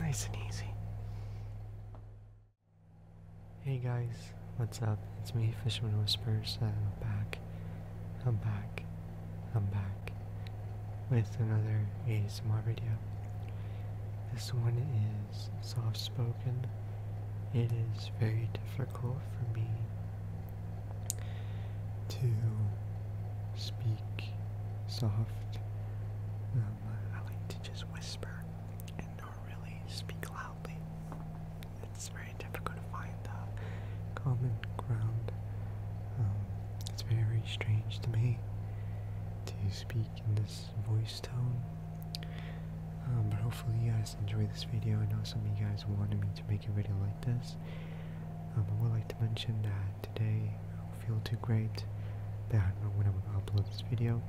Nice and easy. Hey guys, what's up? It's me, Fisherman Whispers, and I'm back. I'm back. I'm back with another ASMR video. This one is soft spoken. It is very difficult for me to speak soft. Um, I like to just whisper and not really speak loudly it's very difficult to find the common ground. Um, it's very strange to me to speak in this voice tone. Um, but hopefully you guys enjoy this video. I know some of you guys wanted me to make a video like this. Um, I would like to mention that today I don't feel too great. That I don't know when I'm going to upload this video.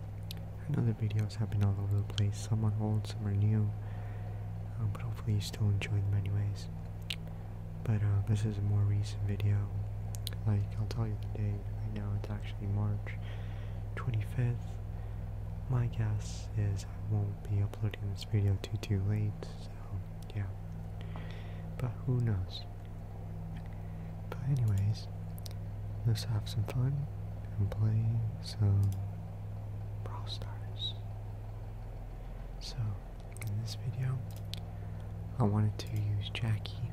Another know the videos have all over the place, some are old, some are new, um, but hopefully you still enjoy them anyways. But uh, this is a more recent video, like I'll tell you the date, right now it's actually March 25th. My guess is I won't be uploading this video too too late, so yeah, but who knows. But anyways, let's have some fun and play some Brawl Stars. So, in this video, I wanted to use Jackie,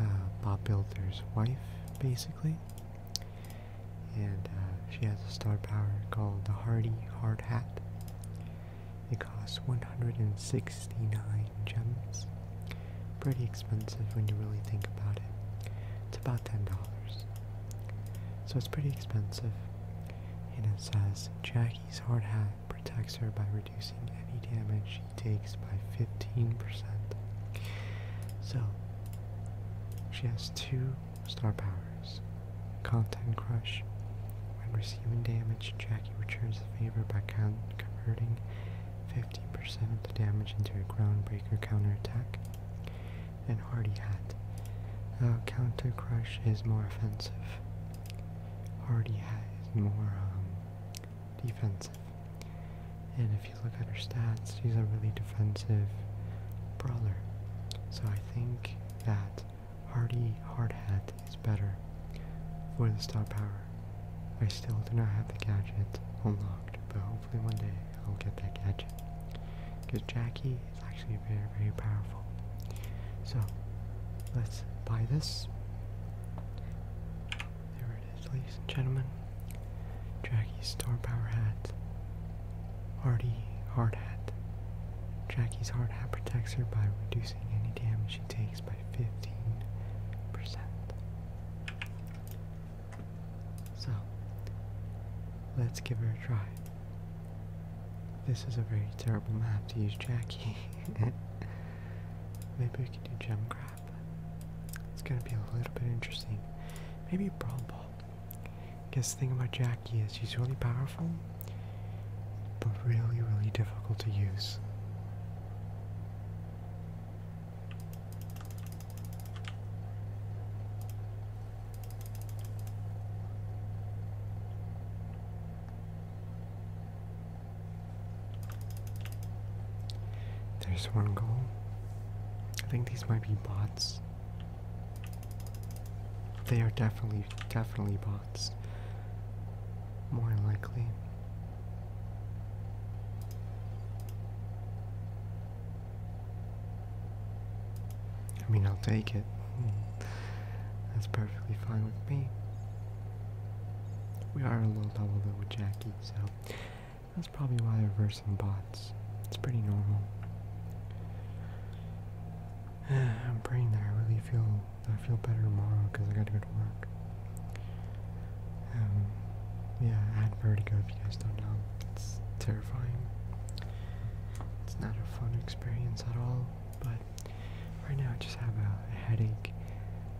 uh, Bob Builder's wife, basically. And uh, she has a star power called the Hardy Hard Hat. It costs 169 gems. Pretty expensive when you really think about it. It's about $10. So it's pretty expensive. And it says Jackie's hard hat protects her by reducing any damage she takes by 15%. So she has two star powers. Content Crush. When receiving damage, Jackie returns the favor by converting 50% of the damage into a groundbreaker counterattack and Hardy Hat, though Counter Crush is more offensive. Hardy Hat is more um, defensive. And if you look at her stats, she's a really defensive brawler. So I think that Hardy Hard Hat is better for the stop power. I still do not have the gadget unlocked, though hopefully one day I'll get that gadget. Because Jackie is actually very, very powerful. So, let's buy this. There it is, ladies and gentlemen. Jackie's Star Power Hat. Hardy Hard Hat. Jackie's Hard Hat protects her by reducing any damage she takes by 15%. So, let's give her a try. This is a very terrible map to use Jackie. Maybe we can do gem grab. It's gonna be a little bit interesting. Maybe brawl ball. Guess the thing about Jackie is she's really powerful, but really, really difficult to use. There's one goal. I think these might be bots. They are definitely, definitely bots. More likely. I mean, I'll take it. That's perfectly fine with me. We are a little level with Jackie, so that's probably why they're versing bots. It's pretty normal. I'm praying that I really feel that I feel better tomorrow because I got to go to work. Um, yeah, I had vertigo if you guys don't know. It's terrifying. It's not a fun experience at all, but right now I just have a, headache.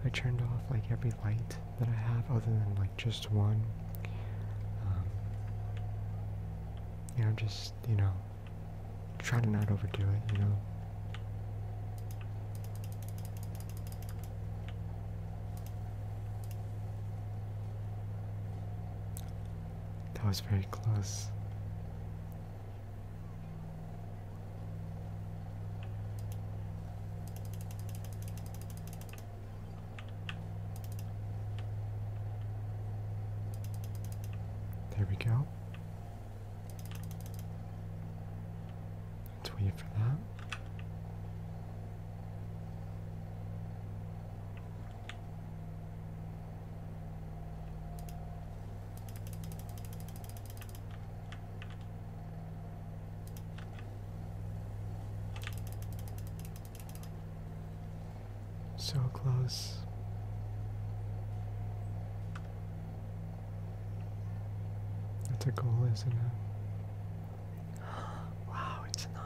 I turned off like every light that I have other than like just one. Um, you know, just, you know, try to not overdo it, you know. That was very close. There we go. Let's wait for that. So close. That's a goal, isn't it? wow, it's not.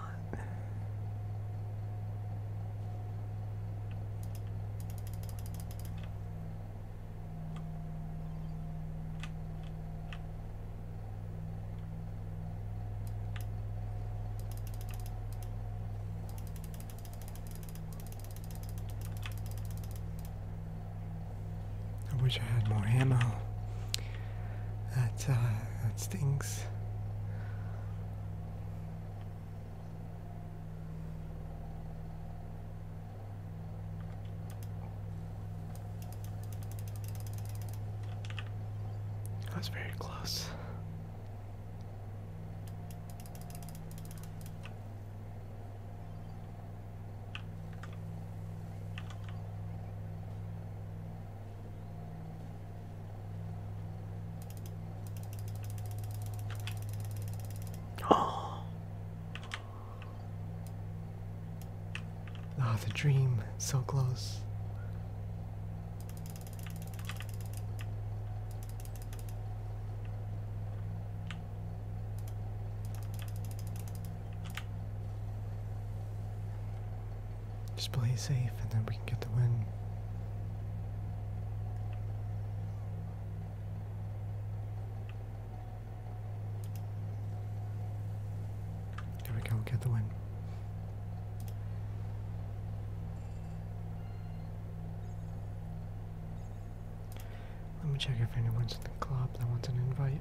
I wish I had more ammo. That, uh, that stinks. That was very close. Oh. Ah, the dream, so close. Just play safe and then we can get the win. There we go, get the win. Let me check if anyone's in the club that wants an invite.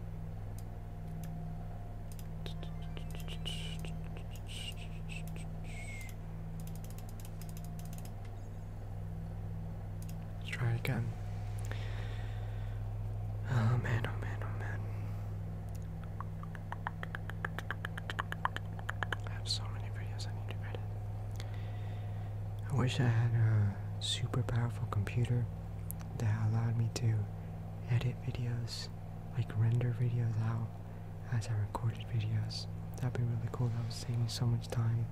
Let's try again. Oh man, oh man, oh man. I have so many videos I need to edit. I wish I had a super powerful computer that allowed me to edit videos, like render videos out as I recorded videos. That'd be really cool. That would save me so much time.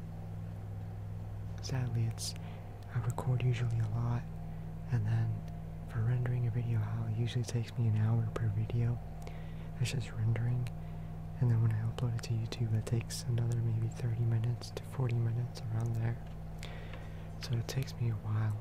Sadly, it's I record usually a lot, and then for rendering a video out, it usually takes me an hour per video. It's just rendering, and then when I upload it to YouTube, it takes another maybe 30 minutes 40 minutes around there. So it takes me a while.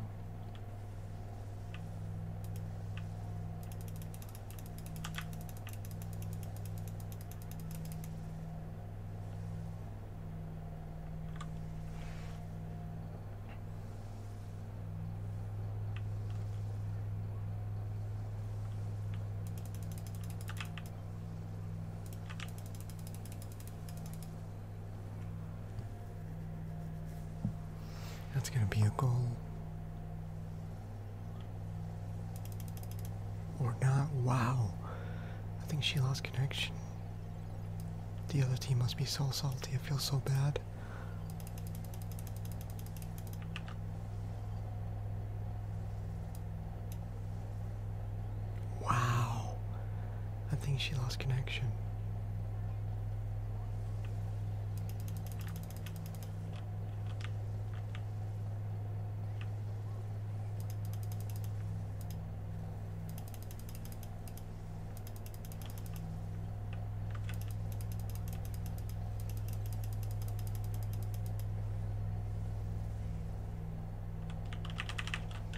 That's going to be a goal. Or not. Wow. I think she lost connection. The other team must be so salty. I feel so bad. Wow. I think she lost connection.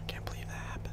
Can't believe that happened.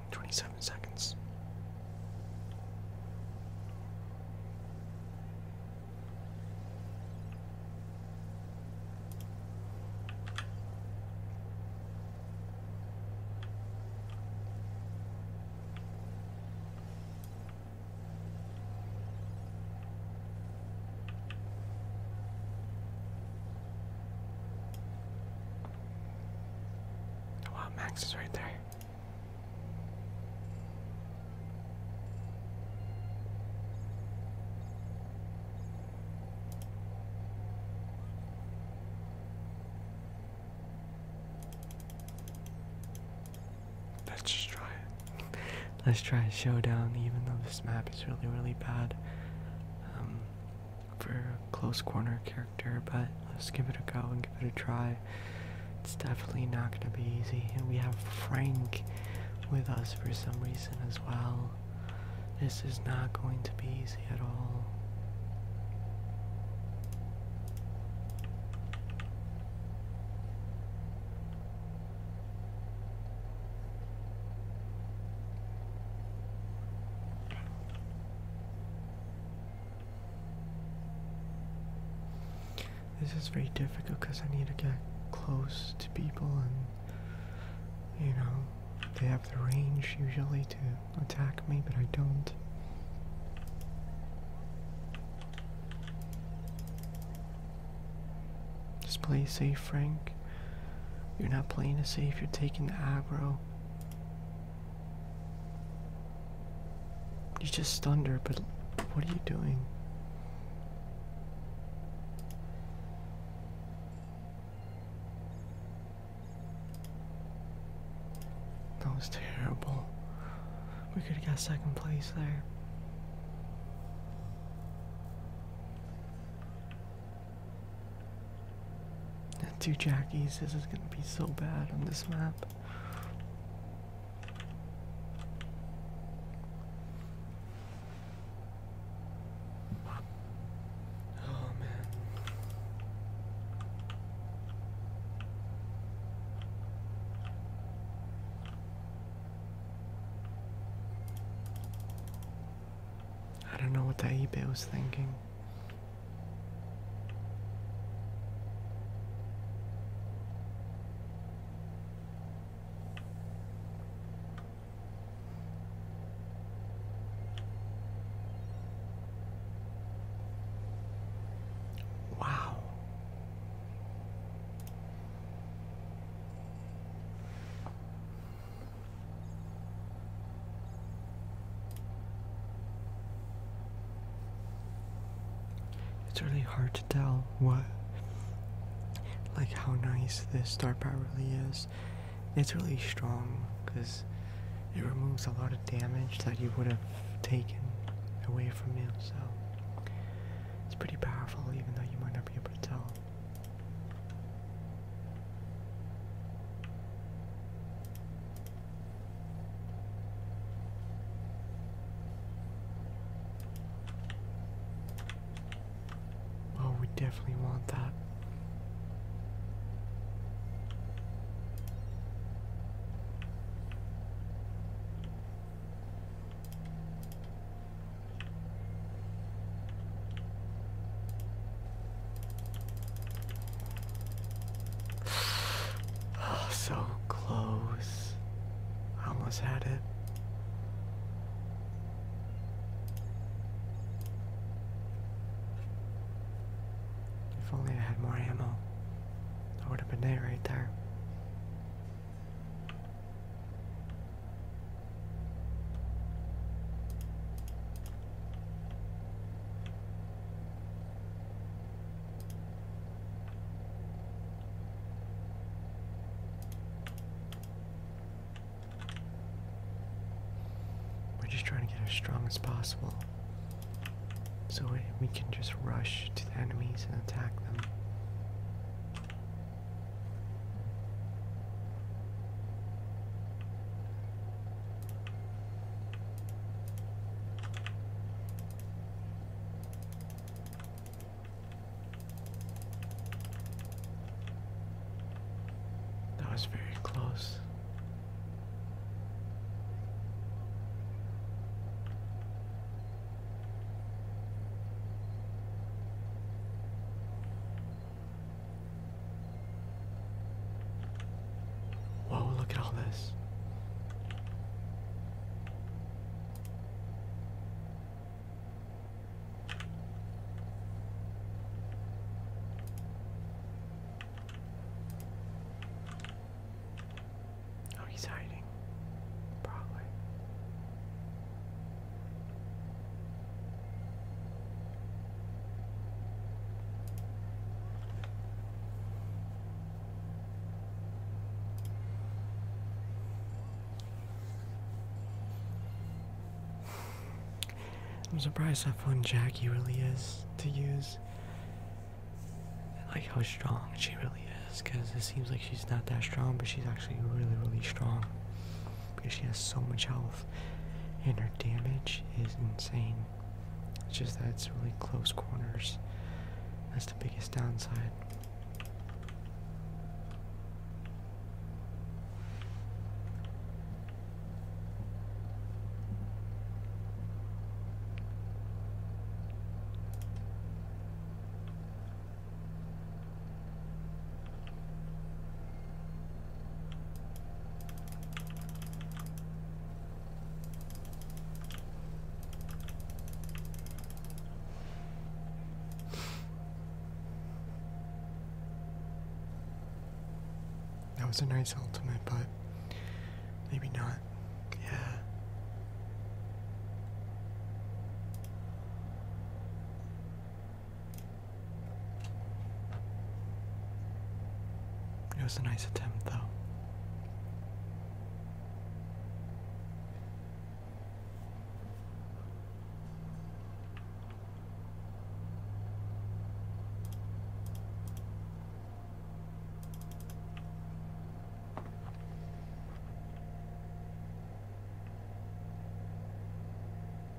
27 seconds. Wow, Max is right there. Let's just try it. Let's try a showdown, even though this map is really, really bad. Um, for a close corner character, but let's give it a go and give it a try. It's definitely not going to be easy. And we have Frank with us for some reason as well. This is not going to be easy at all. This is very difficult because I need to get close to people and, you know, they have the range usually to attack me, but I don't. Just play safe, Frank. You're not playing to safe, you're taking the aggro. You just stunned but what are you doing? That was terrible. We could have got second place there. That two jackies, this is gonna be so bad on this map. Oh man. I don't know what that eBay was thinking. Wow. It's really hard to tell what, like how nice this star power really is. It's really strong because it removes a lot of damage that you would have taken away from you, so it's pretty powerful even though you might not be able to tell. Oh, we definitely want that. Oh, so close. I almost had it. If only I had more ammo, I would have been there right there. We're just trying to get as strong as possible so we can just rush to the enemies and attack them. That was very close. Whoa, look at all this. Oh, he's hiding. Probably. I'm surprised how fun Jackie really is to use. like how strong she really is, because it seems like she's not that strong, but she's actually really, really strong because she has so much health and her damage is insane. It's just that it's really close corners. That's the biggest downside. That was a nice ultimate, but maybe not. Yeah. It was a nice attempt, though.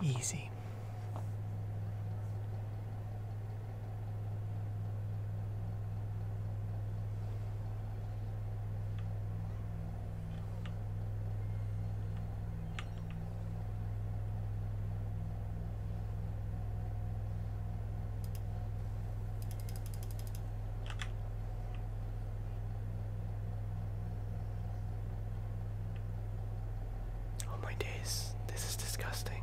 Easy. Oh my days, this is disgusting.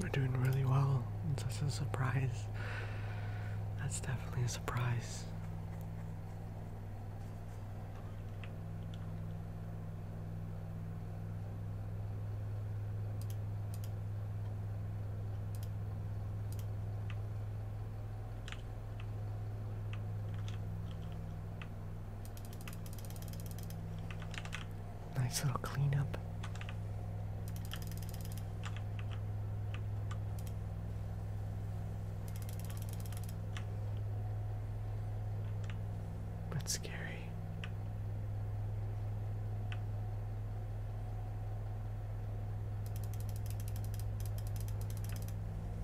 We're doing really well. That's a surprise. That's definitely a surprise. Nice little cleanup. But scary.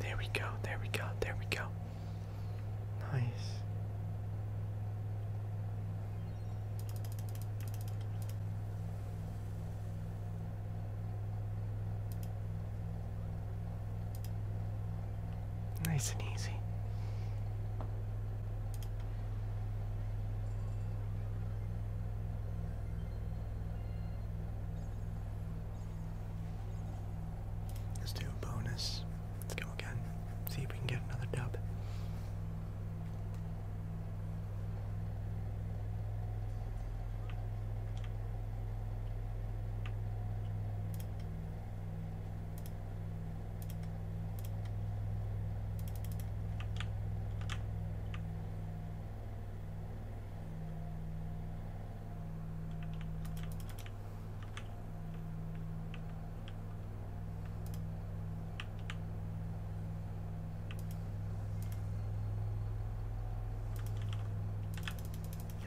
There we go, there we go, there we go. Nice. Nice and easy. Let's do a bonus. Let's go again. See if we can get another dub.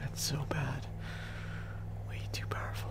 That's so bad. Way too powerful.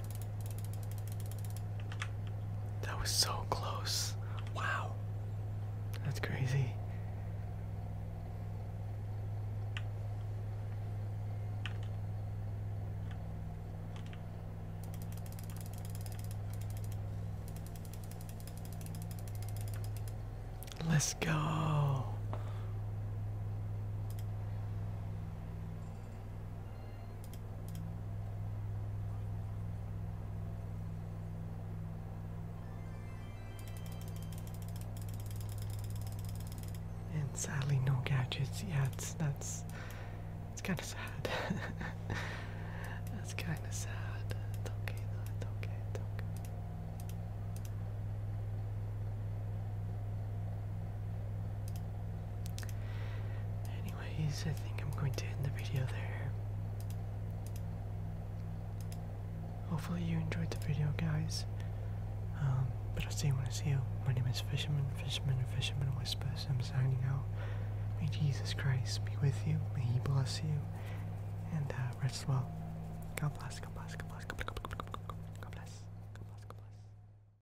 That was so close. Wow. That's crazy. Let's go. And sadly, no gadgets yet. That's that's. it's kind of sad. That's kind of sad. It's okay, though. It's okay. Anyways, I think I'm going to end the video there. Hopefully you enjoyed the video, guys. Um, but I'll see you when I see you. My name is Fisherman, Fisherman, Fisherman Whispers. I'm signing out. May Jesus Christ be with you. May He bless you. And uh, rest well. God bless, God bless, God bless, God bless, God bless, God bless, God bless. God bless.